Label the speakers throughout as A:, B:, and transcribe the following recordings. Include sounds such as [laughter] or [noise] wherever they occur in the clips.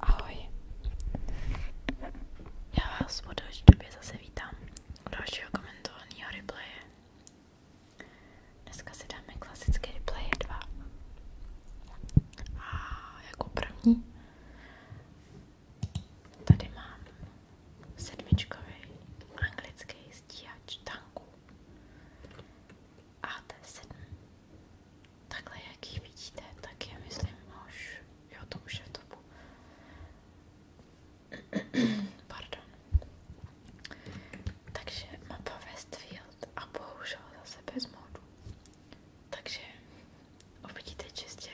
A: Ahoj. Já vás po další době zase vítám u dalšího komentovaného replaye. Dneska si dáme klasické replaye 2. A jako první tady mám sedmičkový anglický stíhač tanků. AT7. Takhle, jak ji vidíte, tak myslím už, jo, to už je v [clears throat] Pardon. Takže mapa Westfield a bohužel zase bez modu. Takže uvidíte čistě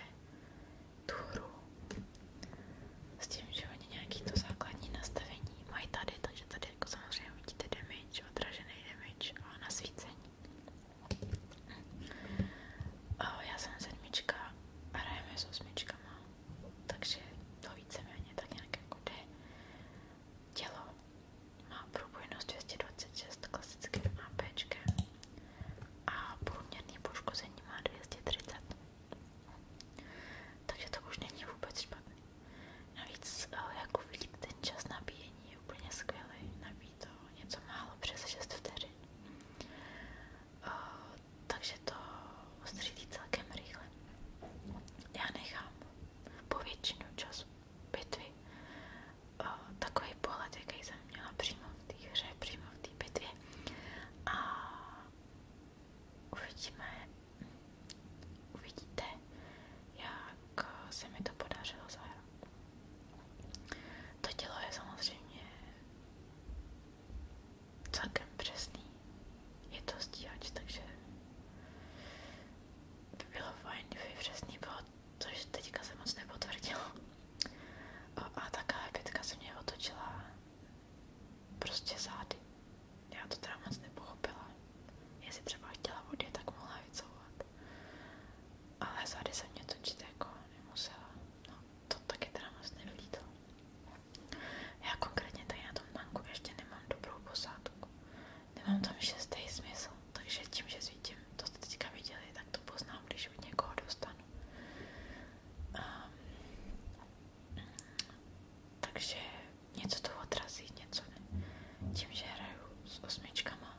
A: tu s tím, že oni nějaký to základní nastavení mají tady, takže tady jako samozřejmě vidíte damage, odražený damage a nasvícení. O, já jsem sedmička a hrajeme s osmičkama, takže to víceméně tak nějak jako jde. Tělo má průbojnost 226 klasickým APčkem a průměrný poškození má 230. Takže to už není vůbec špatný. Navíc, eh, jak uvidíte, čas nabíjení je skvělý. Nabíjí něco málo přes 6 vteřin. Eh, takže to střídí celkem rychle. Já nechám po většinu času bitvy eh, takový pohled, jaký jsem měla přímo v té hře, přímo A uvidíme, uvidíte, jak se mi to podařilo zahrát. To tělo je samozřejmě celkem přesný. Je to stíhač, takže by bylo fajn, kdyby přesný bylo, což teďka se moc nepotvrdilo. A, a taká pětka se mě otočila prostě zády. Já to teda moc nepochopila jestli třeba chtěla odjet, tak mohla vycouvat. Ale zady se mě točit jako nemusela. No, to taky teda moc nevylítlo. Já konkrétně tady na tom tanku ještě nemám dobrou posádku. Nemám tam šestý smysl, takže tím, že svítím, to jste teďka viděli, tak to poznám, když od někoho dostanu. Um, takže něco to odrazí, něco ne. Tím, že hraju s osmičkama,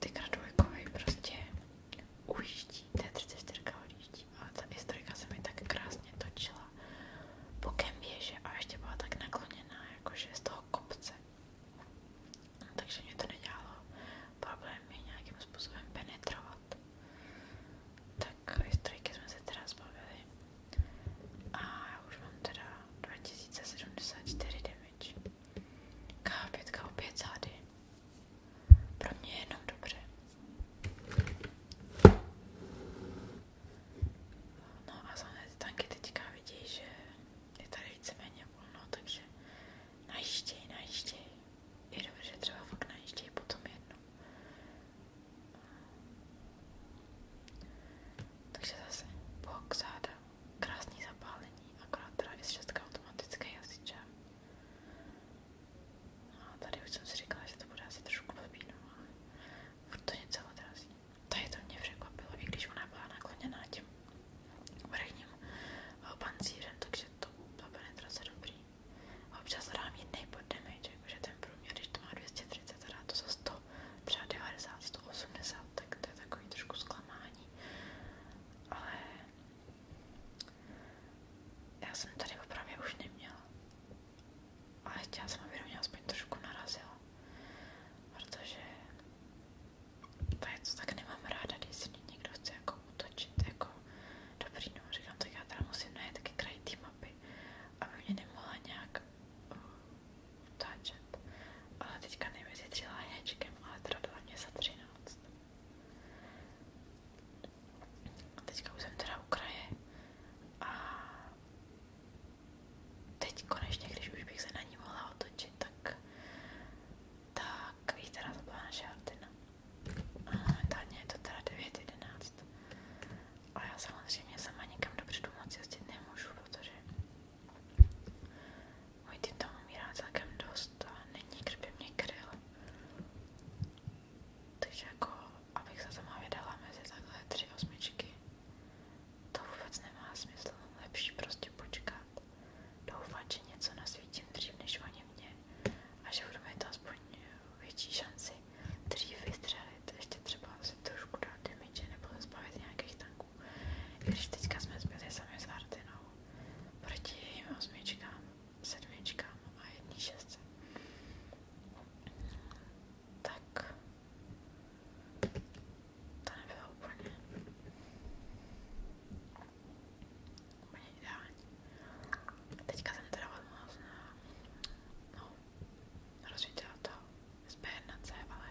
A: tykra dvojkovej prostě ujíždí, T34 ujíždí, ale ta historika se mi tak krásně točila bokem a ještě byla tak nakloněná, jakože z toho kopce. takže mě to nedělalo problém nějakým způsobem penetrovat. Tak historiky jsme se teda zbavili. A už mám teda 2074 9 damage. K5 opět zády. Pro mě je jenom dobře. No a za tanky teďka vidí, že je tady víceméně volno, takže najížděj, najížděj. Je dobře, že třeba fakt najížděj potom jedno. Takže zase bok záda krásný zapálení, akorát teda i z šestka automatické jazyče. No a tady už jsem si říkala, že to bude asi trošku blbý, no ale furt to něco odrazí. Tady to mě překvapilo, i když ona byla nakloněná tím vrchním eh, pancírem, takže to byla penetrace dobrý. A občas dám jiný poddamage, jakože ten průměr, když to má 230, teda to za 100, třeba 90, 180, tak to je takový trošku zklamání ale já jsem tady opravdu už neměla. Ale chtěla jsem, aby do mě aspoň trošku narazila, to je to tak nemám ráda, když si mě někdo chce jako útočit, jako dobrý, no říkám, tak já teda musím najít taky kraj té mapy, aby mě nemohla nějak uh, utáčet ale teďka nevyšetřila hečkem, ale teda dala mě za 13. Teďka už jsem teda u kraje a teď konečně, když už bych se na ní mohla otočit, tak tak jí teda to byla naše hrdina. A momentálně je to teda 9.11. A já samozřejmě sama nikam dopředu moc jezdit nemůžu, protože můj tým tam umírá celkem dost a není kdo by mě kryl. Takže jako, abych se sama vydala mezi takhle tři osmičky, to vůbec nemá smysl. Lepší prostě počkat, doufat, že něco nasvítím dřív než oni mě a že budu mít aspoň větší šanci dřív vystřelit, ještě třeba si trošku dát damage nebo zbavit nějakých tanků roku. Když teďka jsme zbyli sami s Hardinou proti jejím osmičkám, sedmičkám a jední šestce. Tak to nebylo úplně, úplně ideální. Teďka jsem teda odmoc na, no, rozvíjela to z B1C, ale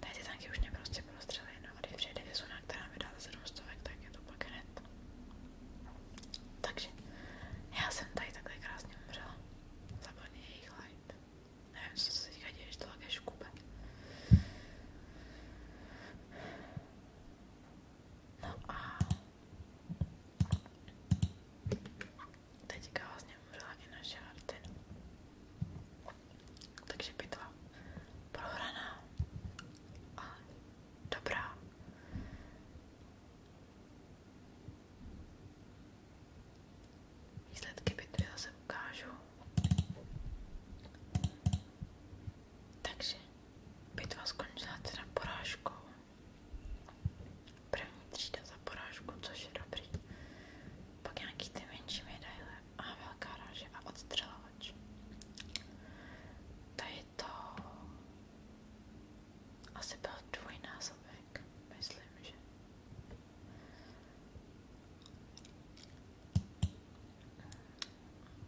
A: Tady ty tanky už mě prostě prostřely, no a když přijde vizuna, která mi dá za 700, tak je to pak hned. Takže já jsem tady takhle krásně umřela. Zapadně jejich light. Nevím, co se teďka děje, že to je škube. No a teďka vlastně umřela i naše Artin takže bitva prohraná a dobrá. Výsledky bitvy zase ukážu. Takže bitva skončila teda porážkou. První třída za porážku, což je dobrý. Pak nějaký ty menší medaile má velká ráže a odstřelovač. To je to... Asi byl dvojnásobek, myslím, že.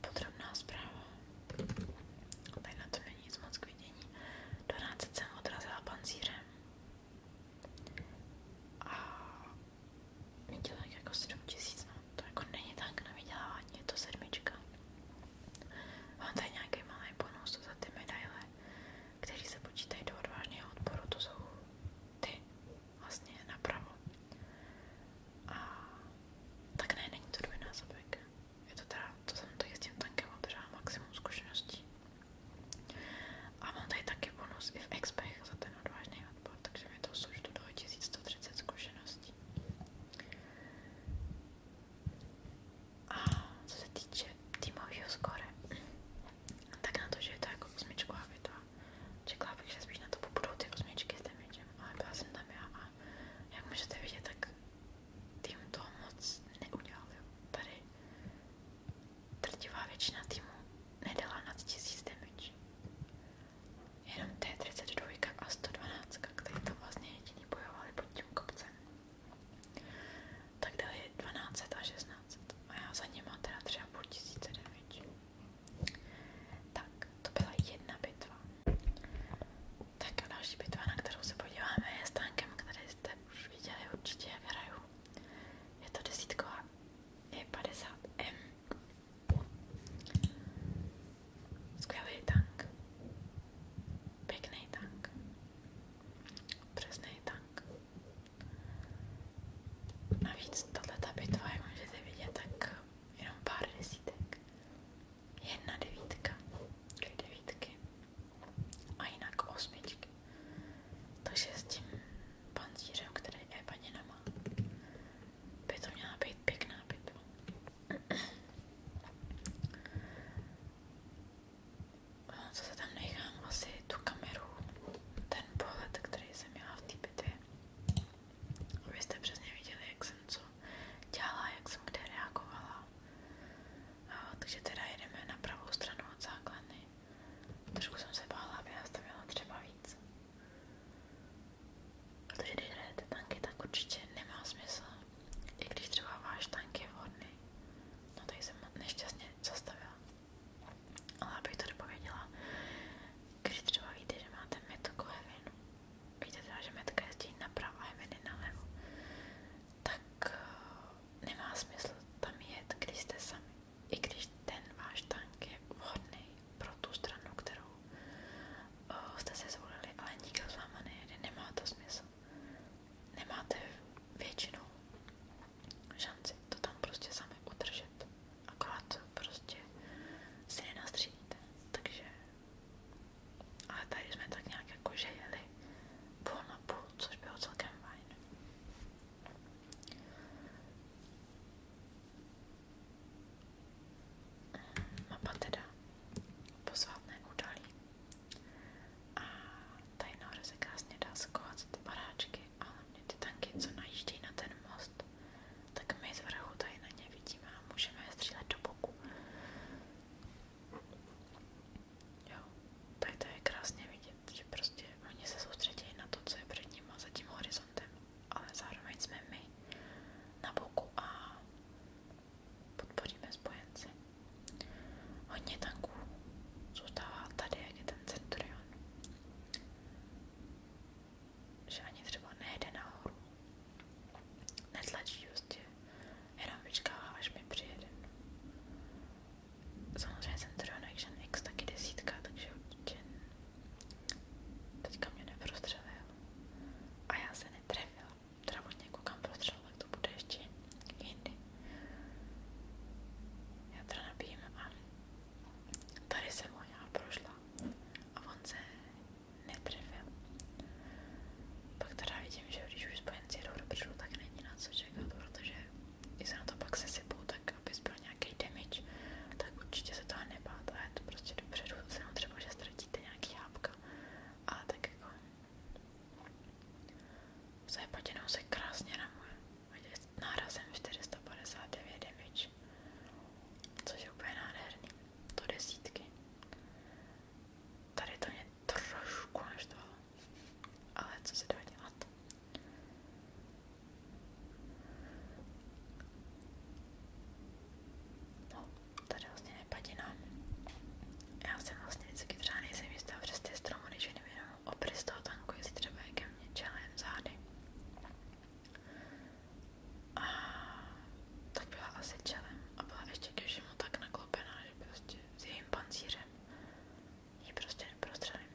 A: Podrobná zpráva. Tady na to není nic moc k vidění. Donácet jsem odrazila pancírem. A Viděla jako 7 tisíc, no to jako není tak na vydělávání, je to sedmička. Mám tady nějaký malý bonus za ty medaile, který se počítají do odvážného odporu, to jsou ty vlastně napravo. A tak ne, není to dvojnásobek. Je to teda, to jsem tady s tím tankem održela maximum zkušeností. A mám tady taky bonus i v expech za ten odvážný odbor, takže mi to služdu do 1130 zkušeností. A co se týče týmového skóre, tak na to, že je to jako osmičková věta, čekala bych, že spíš na to budou ty osmičky s damageem, ale byla jsem tam já a jak můžete vidět, tak tým to moc neudělal. Jo. Tady drtivá většina týmu nedala nad tisíc damage jenom T32 a 112, který to vlastně jediný bojovali pod tím kopcem. Tak dali 12 a 16 a já za nima teda třeba půl tisíce damage. Tak, to byla jedna bitva. Tak a další bitva, na kterou se podíváme, je stánkem, který jste už viděli určitě, jak hraju. Je to desítková E50M. Skvělý tank. Pěkný tank. Přesný tank. Navíc tato bitva, jak můžete vidět, tak jenom pár desítek. Jedna devítka, dvě devítky a jinak osmičky. Takže s tím pancířem, který je paněna má, by to měla být pěkná bitva. Co se tam nechám? Asi tu kameru, ten pohled, který jsem měla v té bitvě. Vy jste přesně viděli, jak jsem co dělala, jak jsem kde reagovala. A, takže teda jedeme na pravou stranu od základny. Trošku jsem se bála, aby nás tam měla třeba víc. Protože když hrajete tanky, tak určitě nemá smysl. I když třeba váš tank je vhodný. No tady jsem nešťastně zastavila. Ale abych to dopověděla, když třeba víte, že máte metku hevinu, víte třeba, že metka jezdí napravo a heviny nalevo, tak eh, nemá smysl tam jet, když jste sami. I když ten váš tank je vhodný pro tu stranu, kterou uh, jste si zvolili, ale nikdo s váma nejede, nemá to smysl. Nemáte většinou šanci to tam prostě sami udržet, akorát prostě si nenastřídíte, takže ale tady jsme tak nějak jako že jeli půl na půl, což bylo celkem fajn. Mapa teda posvátné údolí. A tady nahoře se krásně dá skovat ty baráčky, ale mě ty tanky, co najíždějí na ten most, tak my z vrchu tady na ně vidíme a můžeme je střílet do boku. Jo, tady to je krásně vidět, že prostě oni se soustředí na to, co je před ním a za tím horizontem ale zároveň jsme my na boku a podpoříme spojence. Hodně tanků zůstává tady, jak je ten Centurion. Že ani třeba nejde nahoru. Netlačí prostě, jenom vyčkává, až mi přijede. Samozřejmě Centurion Action X taky desítka, takže určitě Teďka mě neprostřelil a já se netrefila. Teda od něj koukám prostřel, tak to bude ještě jindy. Já teda nabíjím a tady jsem ho já prošla a on se netrefil. Pak teda vidím, že když už spojenci jedou dopředu, tak není na co čekat, protože i se na to pak sesypou, tak abys byl nějaký damage, tak určitě se toho nebát a je to prostě dopředu, jenom třeba, že ztratíte nějaký hápka, ale tak jako zajepatěnou se krásně ramuje, nárazem 459 damage, což je úplně nádherný, to desítky. Tady to mě trošku naštvalo, ale co se dá dělat? No, tady vlastně nepadina. Já jsem vlastně vždycky třeba nejsem jistá přes ty stromu, když jenom obrys toho tanku, jestli třeba je ke mně čelem zády. A to byla asi čelem a byla ještě ke všemu tak naklopená, že prostě s jejím pancířem ji prostě neprostřelím.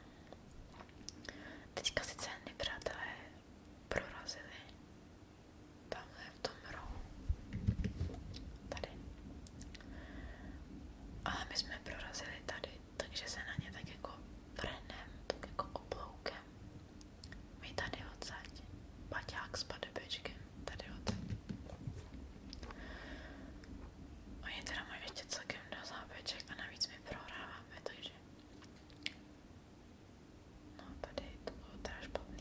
A: Teďka sice nepřátelé prorazili tamhle v tom rohu. Tady. Ale my jsme prorazili tady, takže se na ně tak jako vrhnem, tak jako obloukem. My tady odsaď. Paťák s padebečkem. Tady odsaď. Oni teda mají ještě celkem do zábeček a navíc my prohráváme, takže No tady to bylo teda špatný,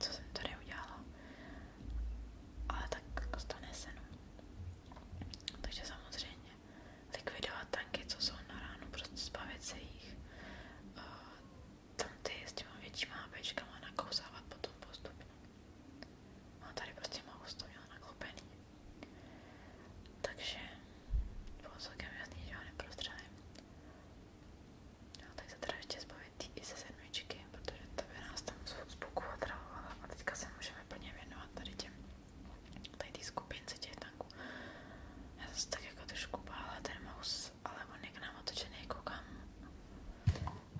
A: co jsem tady udělala, ale tak stane se no. Takže samozřejmě likvidovat tanky, co jsou na ránu, prostě zbavit se jich. Eh, tam ty s těma většíma hábečkama nakousávat potom postupně. No tady prostě mohu to měla Takže bylo celkem jasný, že ho neprostřelím. No, tak se teda ještě zbavit tý i se sedmičky, protože to by nás tam z boku otravovala a teďka se můžeme plně věnovat tady těm tady tý skupince těch tanků. Já zase tak jako trošku bála ten mouse, ale on je k nám otočený, koukám.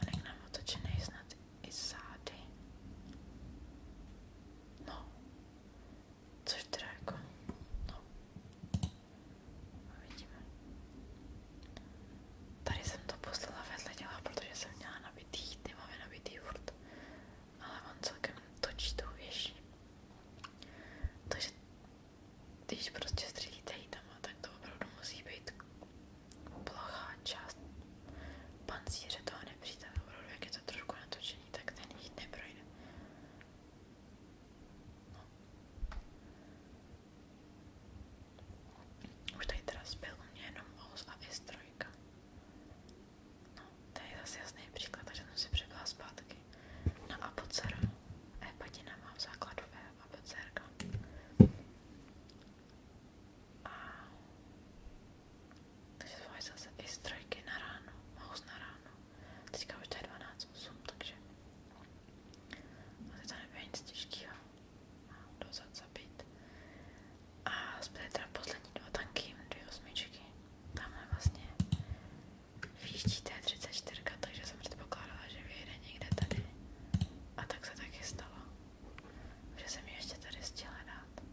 A: On je k nám otočený snad i zády. No, Což teda jako, no, uvidíme. No, Tady jsem to poslala vedle děla, protože jsem měla nabitý, ty máme nabitý furt, ale on celkem točí tou věší. Takže když prostě střílíte hitama, tak to opravdu musí být plochá část pancíře toho nepřítele. Opravdu, jak je to trošku natočený, tak ten hit neprojde. No. Už tady teda zbyl u mě jenom os a S3. No, to je zase jasný příklad, takže jsem si přebyla zpátky na apocera. E-padina má v základu E apocerka. A takže zvolím zase i strojky na ráno, mouse na ráno. Teďka už to je 12.8, takže ale to nebylo nic těžkého. Mám dozad zabít. A zbyly teda poslední dva tanky, dvě osmičky. Tamhle vlastně výští T34, takže jsem předpokládala, že vyjede někde tady. A tak se taky stalo. Že jsem ji ještě tady chtěla dát.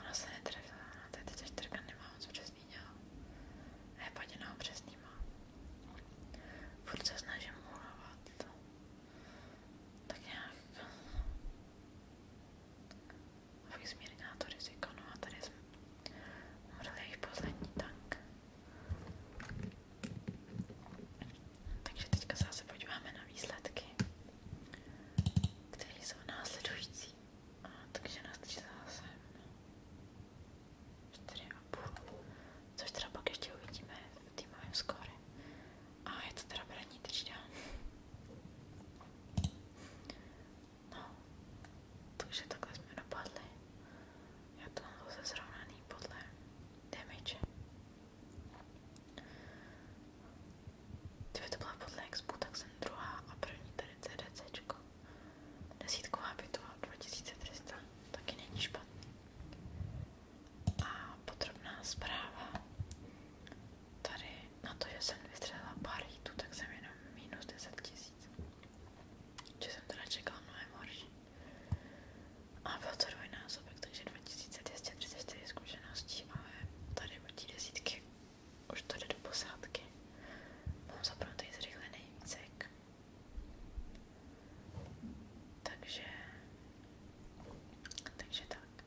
A: Ona se netrefila, ona T34 nemá moc přesně zmínila. A je paděná přesnýma. Furt se snažím uhlávat. Tak nějak... Abych zmírnila to riziko. No a tady jsme umřeli jejich poslední tank. Takže teďka se zase podíváme na výsledky, které jsou následující. A, takže nastřízala jsem 4,5, což třeba pak ještě uvidíme v týmovém skóre. A je to teda první třída. No, takže takhle jsme dopadli. Já to mám zase srovnaný podle damage. Kdyby to byla podle expu, tak jsem druhá a první tady CDCčko. Desítková bytová 2300 taky není špatný. A podrobná zpráva. Tady na to, že jsem vystřelila pár hitů, tak jsem jenom minus 10 tisíc. Že jsem teda čekala mnohem horší. A byl to dvojnásobek, takže 2234 zkušeností, ale tady od desítky už to jde do posádky. Mám zapnutý zrychlený výcek. Takže, takže tak.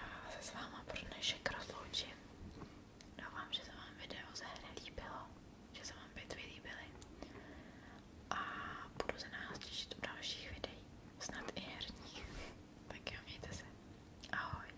A: A se s váma pro dnešek rozloučím. Doufám, že se vám video ze hry líbilo, že se vám bitvy líbily. A budu se nás těšit u dalších videí, snad i herních. [laughs] Tak jo, mějte se. Ahoj.